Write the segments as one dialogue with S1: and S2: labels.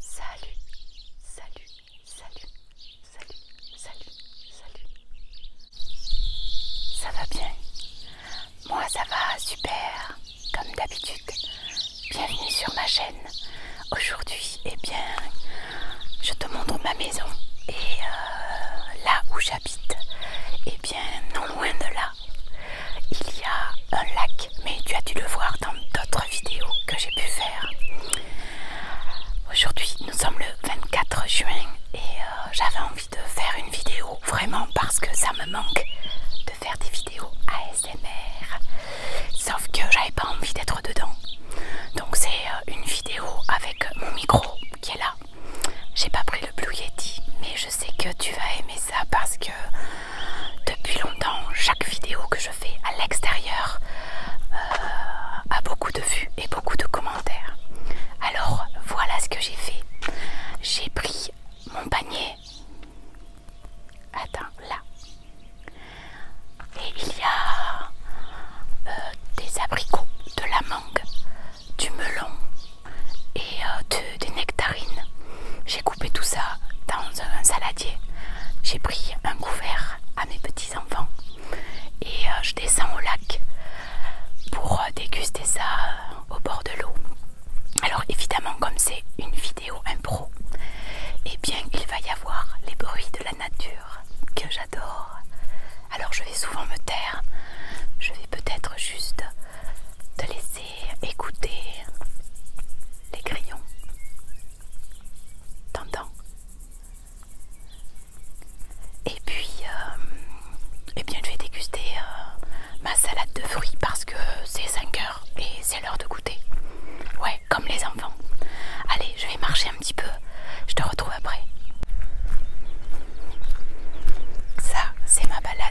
S1: Salut, salut, salut, salut, salut, salut. Ça va bien Moi ça va super, comme d'habitude. Bienvenue sur ma chaîne. Aujourd'hui, eh bien, je te montre ma maison et euh, là où j'habite. Eh bien, non loin de là, il y a un lac, mais tu as dû le voir dans d'autres vidéos que j'ai pu faire. Aujourd'hui, nous sommes le 24 juin et euh, j'avais envie de faire une vidéo, vraiment parce que ça me manque de faire des vidéos ASMR. Sauf que j'avais pas envie d'être dedans. Donc c'est euh, une vidéo avec mon micro qui est là. J'ai pas pris le Blue Yeti, mais je sais que tu vas aimer ça parce que depuis longtemps, chaque vidéo que je fais à l'extérieur euh, a beaucoup de vues et beaucoup de commentaires. Alors voilà ce que j'ai fait. J'ai pris mon panier. Attends, là. Et il y a euh, des abricots, de la mangue, du melon et euh, des nectarines tout ça dans un, saladier. J'ai pris un couvert à mes petits-enfants et euh, je descends au lac pour euh, déguster ça euh, au bord de l'eau. Alors évidemment comme c'est une vidéo impro, et eh bien il va y avoir les bruits de la nature que j'adore. Alors je vais souvent me taire, je vais peut-être juste te laisser écouter les crayons T'entends Et puis, et euh, eh bien, je vais déguster euh, ma salade de fruits parce que c'est 5 heures et c'est l'heure de goûter. Ouais, comme les enfants. Allez, je vais marcher un petit peu. Je te retrouve après. Ça, c'est ma balade.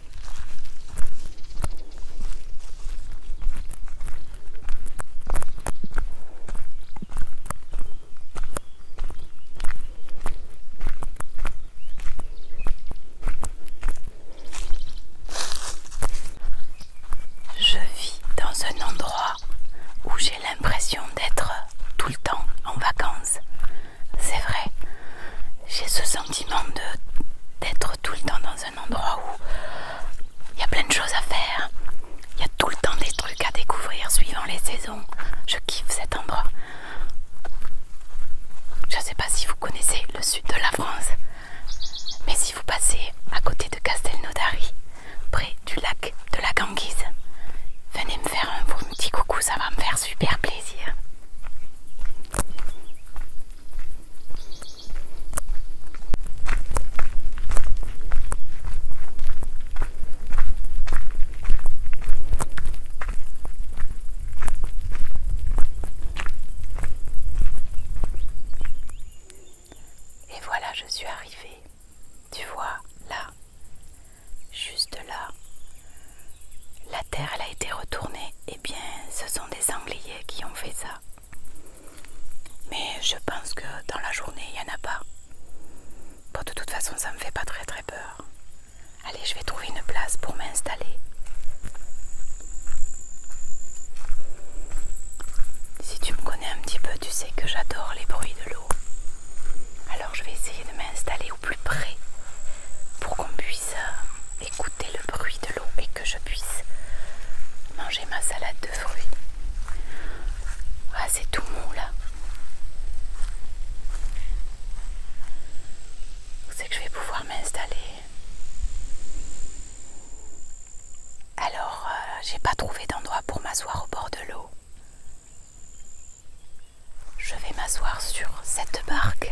S1: Je vis dans un endroit où j'ai l'impression d'être tout le temps en vacances. C'est vrai, j'ai ce sentiment d'être tout le temps dans un endroit où il y a plein de choses à faire. Il y a tout le temps des trucs à découvrir suivant les saisons. Je kiffe cet endroit. Je ne sais pas si vous connaissez le sud de la France, mais si vous passez à côté de Castelnaudary, près du lac de la Ganguise, venez me faire un petit coucou, ça va me faire super plaisir. Et voilà, je suis arrivée. Tu vois, là, juste là, la terre elle a été retournée eh bien ce sont des sangliers qui ont fait ça. Mais je pense que dans la journée, il n'y en a pas. Bon, de toute façon, ça me fait pas très très peur. Allez, je vais trouver une place pour m'installer. Si tu me connais un petit peu, tu sais que j'adore les bruits de l'eau. Alors je vais essayer de m'installer au plus près pour qu'on puisse euh, écouter le bruit de l'eau et que je puisse manger ma salade de fruits. Ah, c'est tout mou là. C'est que je vais pouvoir m'installer. Alors, euh, j'ai pas trouvé d'endroit pour m'asseoir au bord de l'eau. Je vais m'asseoir sur cette barque,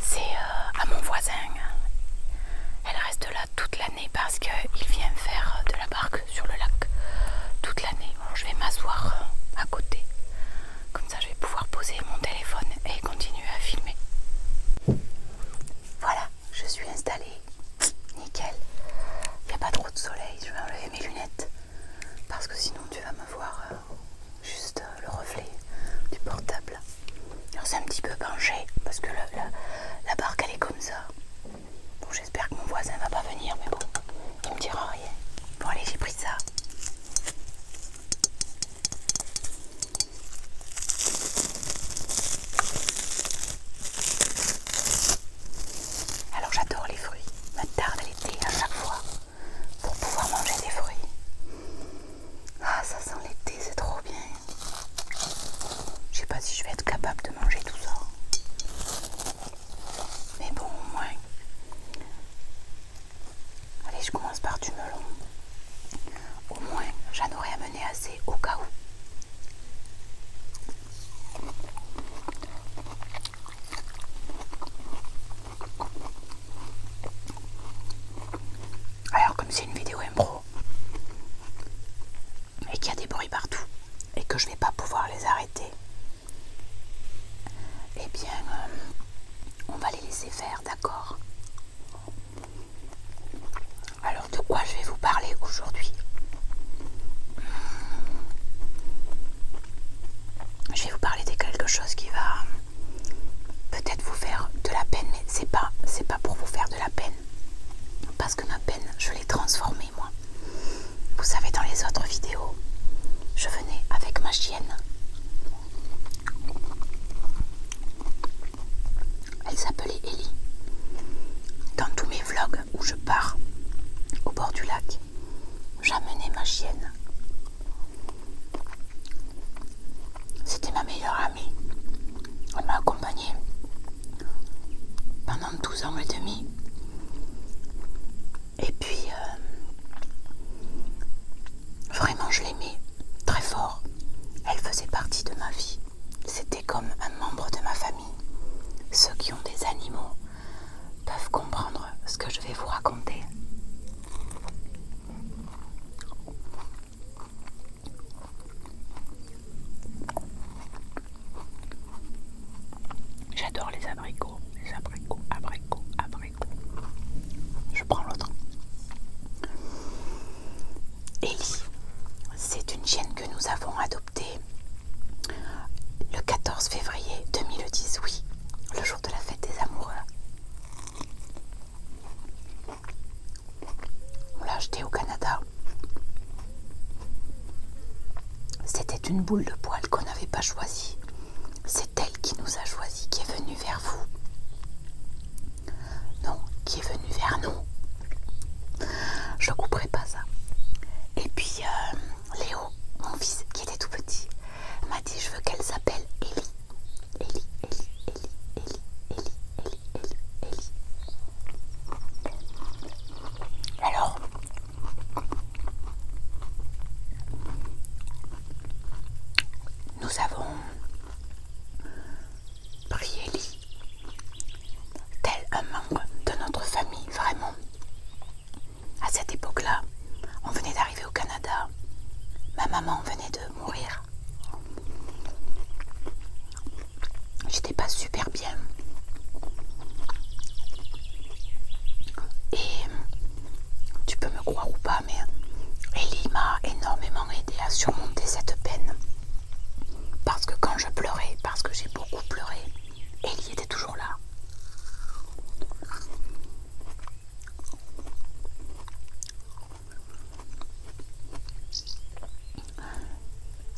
S1: c'est euh, à mon voisin. Elle reste là toute l'année parce qu'il vient faire de la barque sur le lac toute l'année. je vais m'asseoir euh, à côté. Comme ça je vais pouvoir poser mon téléphone et continuer à filmer. Voilà, je suis installée. Nickel. Il n'y a pas trop de soleil. Je vais enlever mes lunettes. Parce que sinon tu vas me voir euh, juste euh, le reflet du portable. Alors c'est un petit peu penché parce que la, barque elle est comme ça. Bon j'espère que mon voisin va pas venir mais bon, il me dira rien. Bon allez j'ai pris ça. Alors j'adore les fruits. Ma tarte à l'été à chaque fois pour pouvoir manger des fruits. Ah, ça sent l'été, c'est trop bien. Je sais pas si je vais être capable de manger tout ça. Mais bon, au moins. Allez, je commence par du melon. Au moins, j'en aurais amené assez au cas où. Alors comme c'est une vidéo impro et qu'il y a des bruits partout et que je vais pas pouvoir les arrêter, Et eh bien euh, on va les laisser faire, d'accord Alors de quoi je vais vous parler aujourd'hui je vais vous parler de quelque chose qui va peut-être vous faire de la peine, mais c'est pas, c'est pas pour vous faire de la peine. Parce que ma peine, je l'ai transformée moi. Vous savez, dans les autres vidéos, je venais avec ma chienne. Elle s'appelait Ellie. Dans tous mes vlogs où je pars au bord du lac, j'amenais ma chienne c'était ma meilleure amie. Elle m'a accompagnée pendant 12 ans et demi. Et puis, euh, vraiment, je l'aimais très fort. Elle faisait partie de ma vie. C'était comme un membre de ma famille. Ceux qui ont des animaux peuvent comprendre ce que je vais vous raconter. J'adore les abricots, les abricots, abricots, abricots. Je prends l'autre. Ellie, c'est une chienne que nous avons adoptée le 14 février 2010, oui, le jour de la fête des amoureux. On l'a acheté au Canada. C'était une boule de poil qu'on n'avait pas choisie. C'est elle qui nous a choisis, qui est venue vers vous. Non, qui est venue vers nous. Je couperai pas ça. Et puis, euh, Léo, mon fils, qui était tout petit, m'a dit je veux qu'elle s'appelle Ellie. Alors, nous avons pris tel un membre de notre famille, vraiment. À cette époque-là, on venait d'arriver au Canada. Ma maman venait de mourir. J'étais pas super bien. Et tu peux me croire ou pas, mais Ellie m'a énormément aidé à surmonter cette peine. Parce que quand je pleurais, parce que j'ai beaucoup pleuré, Ellie était toujours là.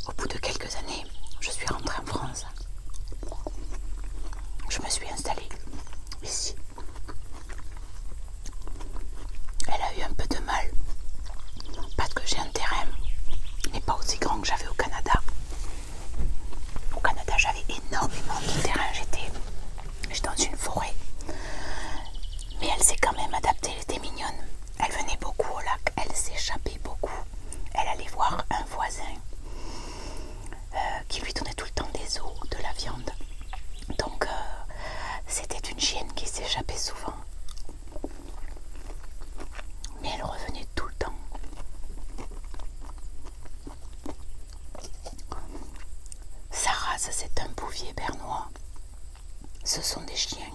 S1: Au bout de quelques années, je suis rentrée en France. Je me suis installée ici. Elle a eu un peu de mal. Parce que j'ai un terrain mais n'est pas aussi grand que j'avais au Canada. Au Canada, j'avais énormément de terrain. J'étais J'étais dans une forêt. Mais elle s'est quand même adaptée, elle était mignonne. Elle venait beaucoup au lac, elle s'échappait beaucoup. Elle allait voir un voisin euh, qui lui donnait tout le temps des os, de la viande. Donc euh, c'était une chienne qui s'échappait souvent. Mais elle revenait tout le temps. Sa c'est un bouvier bernois. Ce sont des chiens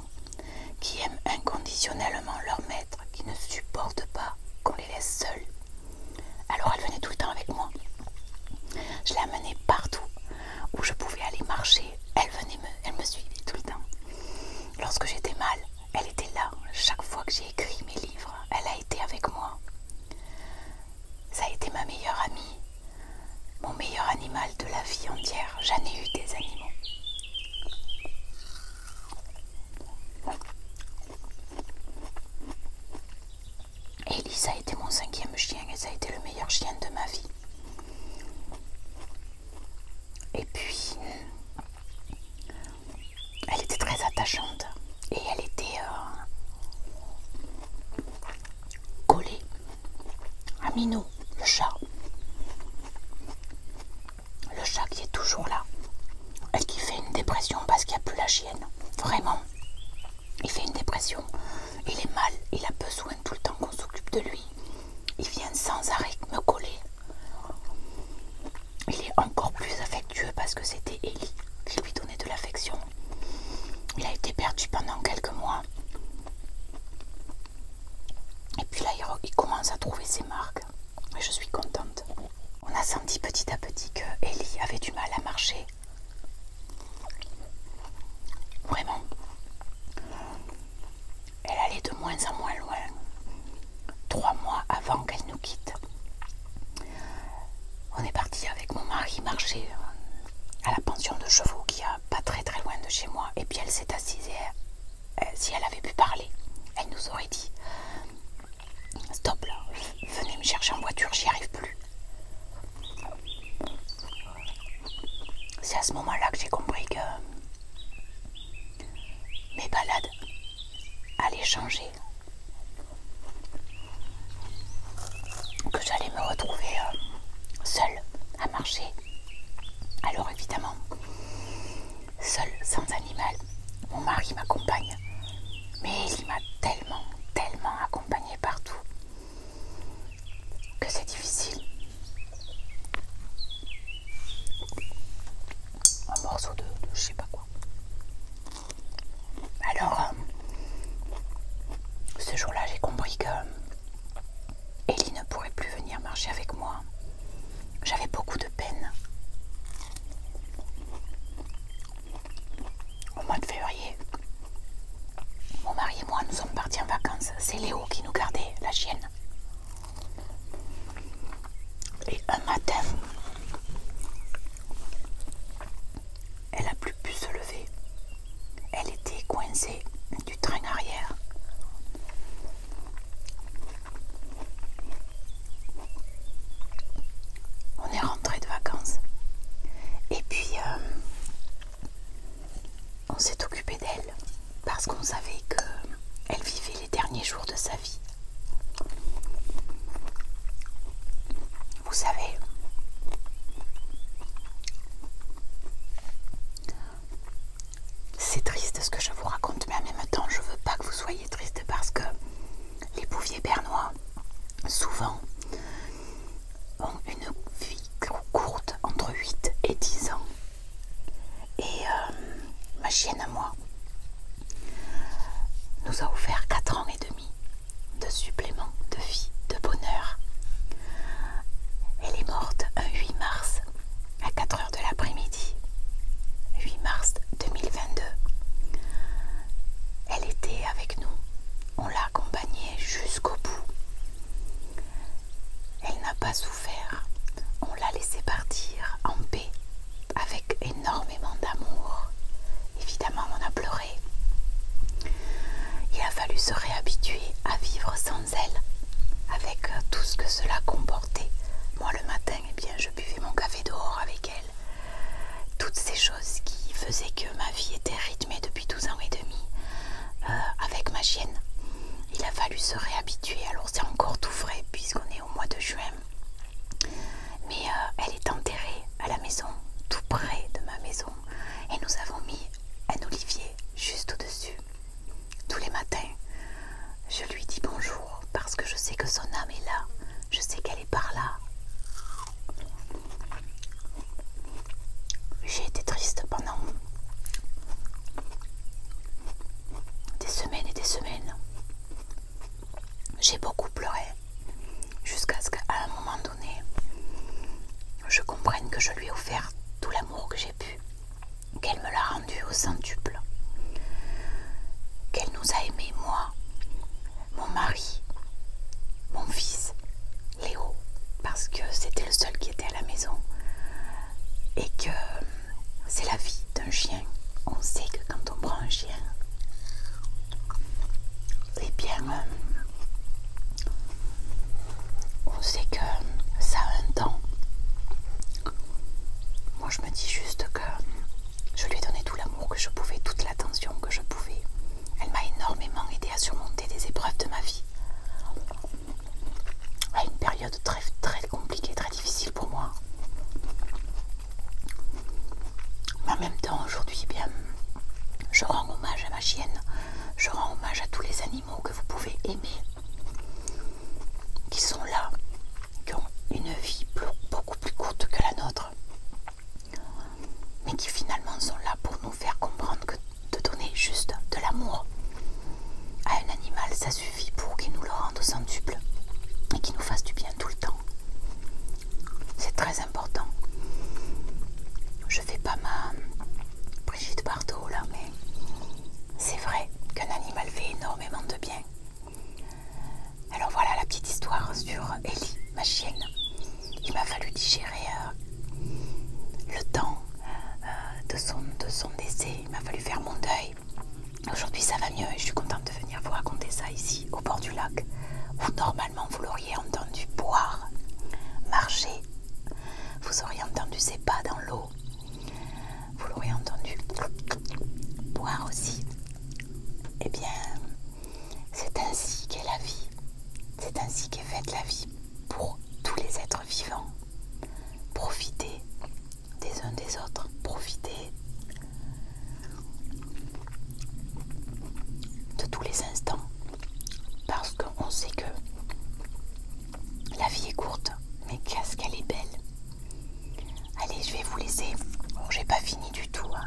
S1: qui aiment inconditionnellement leur maître, qui ne supportent pas qu'on les laisse seuls. Alors elle venait tout le temps avec moi. Je l'amenais partout où je pouvais aller marcher. Elle venait me, elle me suivait tout le temps. Lorsque j'étais mal, elle était là. Chaque fois que j'ai écrit mes livres, elle a été avec moi. Ça a été ma meilleure amie. Mon meilleur animal de la vie entière, j'en ai eu des animaux. Elisa a été mon cinquième chien et ça a été le meilleur chien de ma vie. Et puis, elle était très attachante et elle était... Euh, collé à Minou, le chat. Le chat qui est toujours là et qui fait une dépression parce qu'il n'y a plus la chienne. Vraiment. Il fait une dépression. Il est mal. Il a besoin tout le temps qu'on s'occupe de lui. Il vient sans arrêt me coller. Il est encore plus affectueux parce que c'était Ellie qui lui donnait de l'affection il a été perdu pendant quelques mois. Et puis là, il commence à trouver ses marques. Et je suis contente. On a senti petit à petit que Ellie avait du mal à marcher. Vraiment. Elle allait de moins en moins loin. Trois mois avant qu'elle nous quitte on est parti avec mon mari marcher euh, à la pension de chevaux qui a pas très très loin de chez moi. Et puis elle s'est assise et si elle avait pu parler, elle nous aurait dit Stop là, venez me chercher en voiture, j'y arrive plus. C'est à ce moment-là que j'ai compris que mes balades allaient changer que j'allais me retrouver euh, seule à marcher. Alors évidemment, seule, sans animal, mon mari m'accompagne. Mais il m'a tellement, tellement accompagnée partout que c'est difficile. Un morceau de, de je sais pas quoi. Alors, euh, ce jour-là, j'ai compris que Ellie ne pourrait plus venir marcher avec moi. J'avais beaucoup de peine. Au mois de février, mon mari et moi nous sommes partis en vacances. C'est Léo qui nous gardait, la chienne. Et un matin, elle n'a plus pu se lever. Elle était coincée du train arrière. On est rentré de vacances. Et puis, euh, on s'est occupé d'elle parce qu'on savait qu'elle vivait les derniers jours de sa vie. Vous savez, c'est triste ce que je vous raconte, mais en même temps, je ne veux pas que vous soyez triste parce que les bouviers bernois, souvent, ont une vie courte entre 8 et 10 ans. Et euh, ma chienne à moi nous a offert 4 ans et demi de suppléments de vie, de bonheur. Elle est morte un 8 mars à 4 heures de l'après-midi, 8 mars 2022. Elle était avec nous, on l'a accompagnée jusqu'au bout. Elle n'a pas souffert, on l'a laissé partir en paix, avec énormément d'amour. Évidemment, on a pleuré. Il a fallu se réhabituer à vivre sans elle, avec tout ce que cela comportait. Moi le matin, et eh bien, je buvais mon café dehors avec elle. Toutes ces choses qui faisaient que ma vie était rythmée depuis 12 ans et demi euh, avec ma chienne. Il a fallu se réhabituer, alors c'est encore tout frais puisqu'on est au mois de juin. Mais euh, elle est enterrée à la maison, tout près de ma maison et nous avons mis un olivier juste au-dessus. Tous les matins, je lui dis bonjour parce que je sais que son âme est là, je sais qu'elle est par là. J'ai été triste pendant des semaines et des semaines. J'ai beaucoup pleuré. Jusqu'à ce qu'à un moment donné, je comprenne que je lui ai offert tout l'amour que j'ai pu, qu'elle me l'a rendu au centuple, qu'elle nous a aimés, moi, mon mari, mon fils, Léo, parce que c'était le seul qui était à la maison, et que c'est la vie d'un chien. On sait que quand on prend un chien, eh bien, euh, on sait que ça a un temps. Moi je me dis juste que je lui ai donné tout l'amour que je pouvais, toute l'attention que je pouvais. Elle m'a énormément aidé à surmonter des épreuves de ma vie. À une période très compliquée, très difficile pour moi. Mais en même temps, aujourd'hui, eh je rends hommage je rends hommage à tous les animaux que vous pouvez aimer, qui sont là, qui ont une vie beaucoup plus courte que la nôtre, mais qui finalement sont là pour nous faire comprendre que de donner juste de l'amour à un animal, ça suffit pour qu'il nous le rende au centuple et qu'il nous fasse du bien tout le temps. C'est très important. Je fais pas ma Brigitte Bardot là, mais c'est vrai qu'un animal fait énormément de bien. Alors voilà la petite histoire sur Ellie, ma chienne. Il m'a fallu digérer euh, le temps euh, de, son, de décès. Il m'a fallu faire mon deuil. Aujourd'hui ça va mieux et je suis contente de venir vous raconter ça ici au bord du lac où normalement vous l'auriez entendu boire, marcher, vous auriez entendu ses pas dans l'eau, vous l'auriez entendu boire aussi. et eh bien, c'est ainsi qu'est la vie, c'est ainsi qu'est faite la vie pour tous les êtres vivants. Profiter des uns des autres, Profiter de tous les instants. Parce qu'on sait que la vie est courte, mais qu'est-ce qu'elle est belle. Allez, je vais vous laisser. Bon, j'ai pas fini du tout. Hein.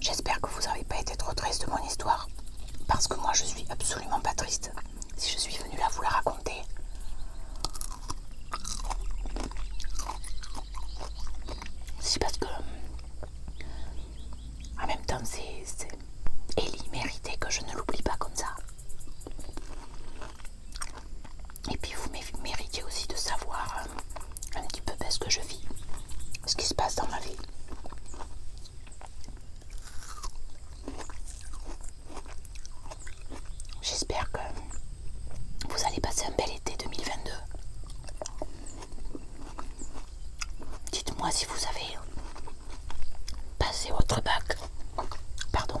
S1: J'espère que vous n'avez pas été trop triste de mon histoire. Parce que moi, je suis absolument pas triste. Si je suis venue là vous la raconter, c'est parce que euh, en même temps, c'est Ellie méritait que je ne l'oublie pas comme ça. Et puis vous méritez aussi de savoir euh, un petit peu ce que je vis, ce qui se passe dans ma vie. J'espère que vous allez passer un bel été 2022. Dites-moi si vous avez passé votre bac. Pardon.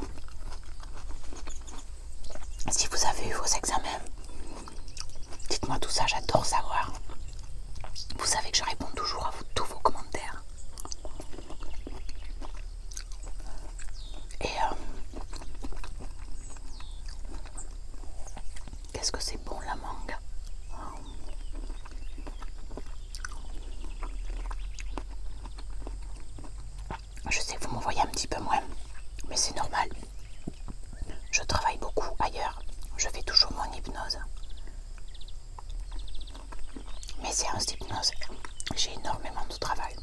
S1: Si vous avez eu vos examens. Dites-moi tout ça, j'adore savoir. Vous savez que je réponds toujours à tous vos commentaires. Et euh, qu'est-ce que c'est bon la mangue Je sais vous me voyez un petit peu moins, mais c'est normal. Je travaille beaucoup ailleurs. Je fais toujours mon hypnose. Mais c'est un d'hypnose, j'ai énormément de travail.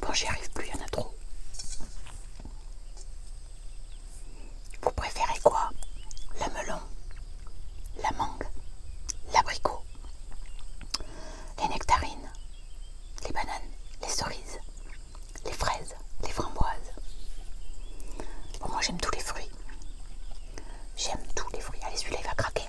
S1: Bon, j'y arrive plus, il y en a trop. Vous préférez quoi Le melon, la mangue, l'abricot, les nectarines, les bananes, les cerises, les fraises, les framboises. moi j'aime tous les fruits. J'aime tous les fruits. Allez, celui-là il va craquer.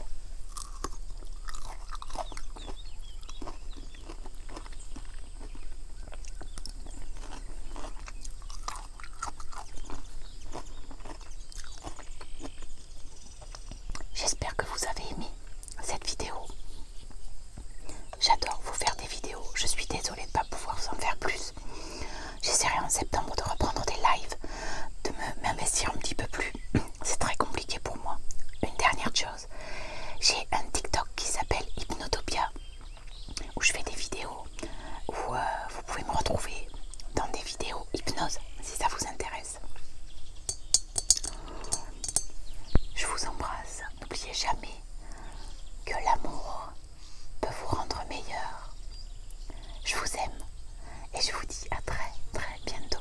S1: J'espère que vous avez aimé cette vidéo. J'adore vous faire des vidéos. Je suis désolée de ne pas pouvoir vous en faire plus. J'essaierai en septembre de reprendre des lives, de m'investir un petit peu plus. C'est très compliqué pour moi. Une dernière chose, j'ai un TikTok qui s'appelle Hypnotopia où je fais des vidéos où euh, vous pouvez me retrouver dans des vidéos hypnose si ça vous intéresse. Je vous embrasse. N'oubliez jamais que l'amour peut vous rendre meilleur. Je vous aime et je vous dis à très très bientôt.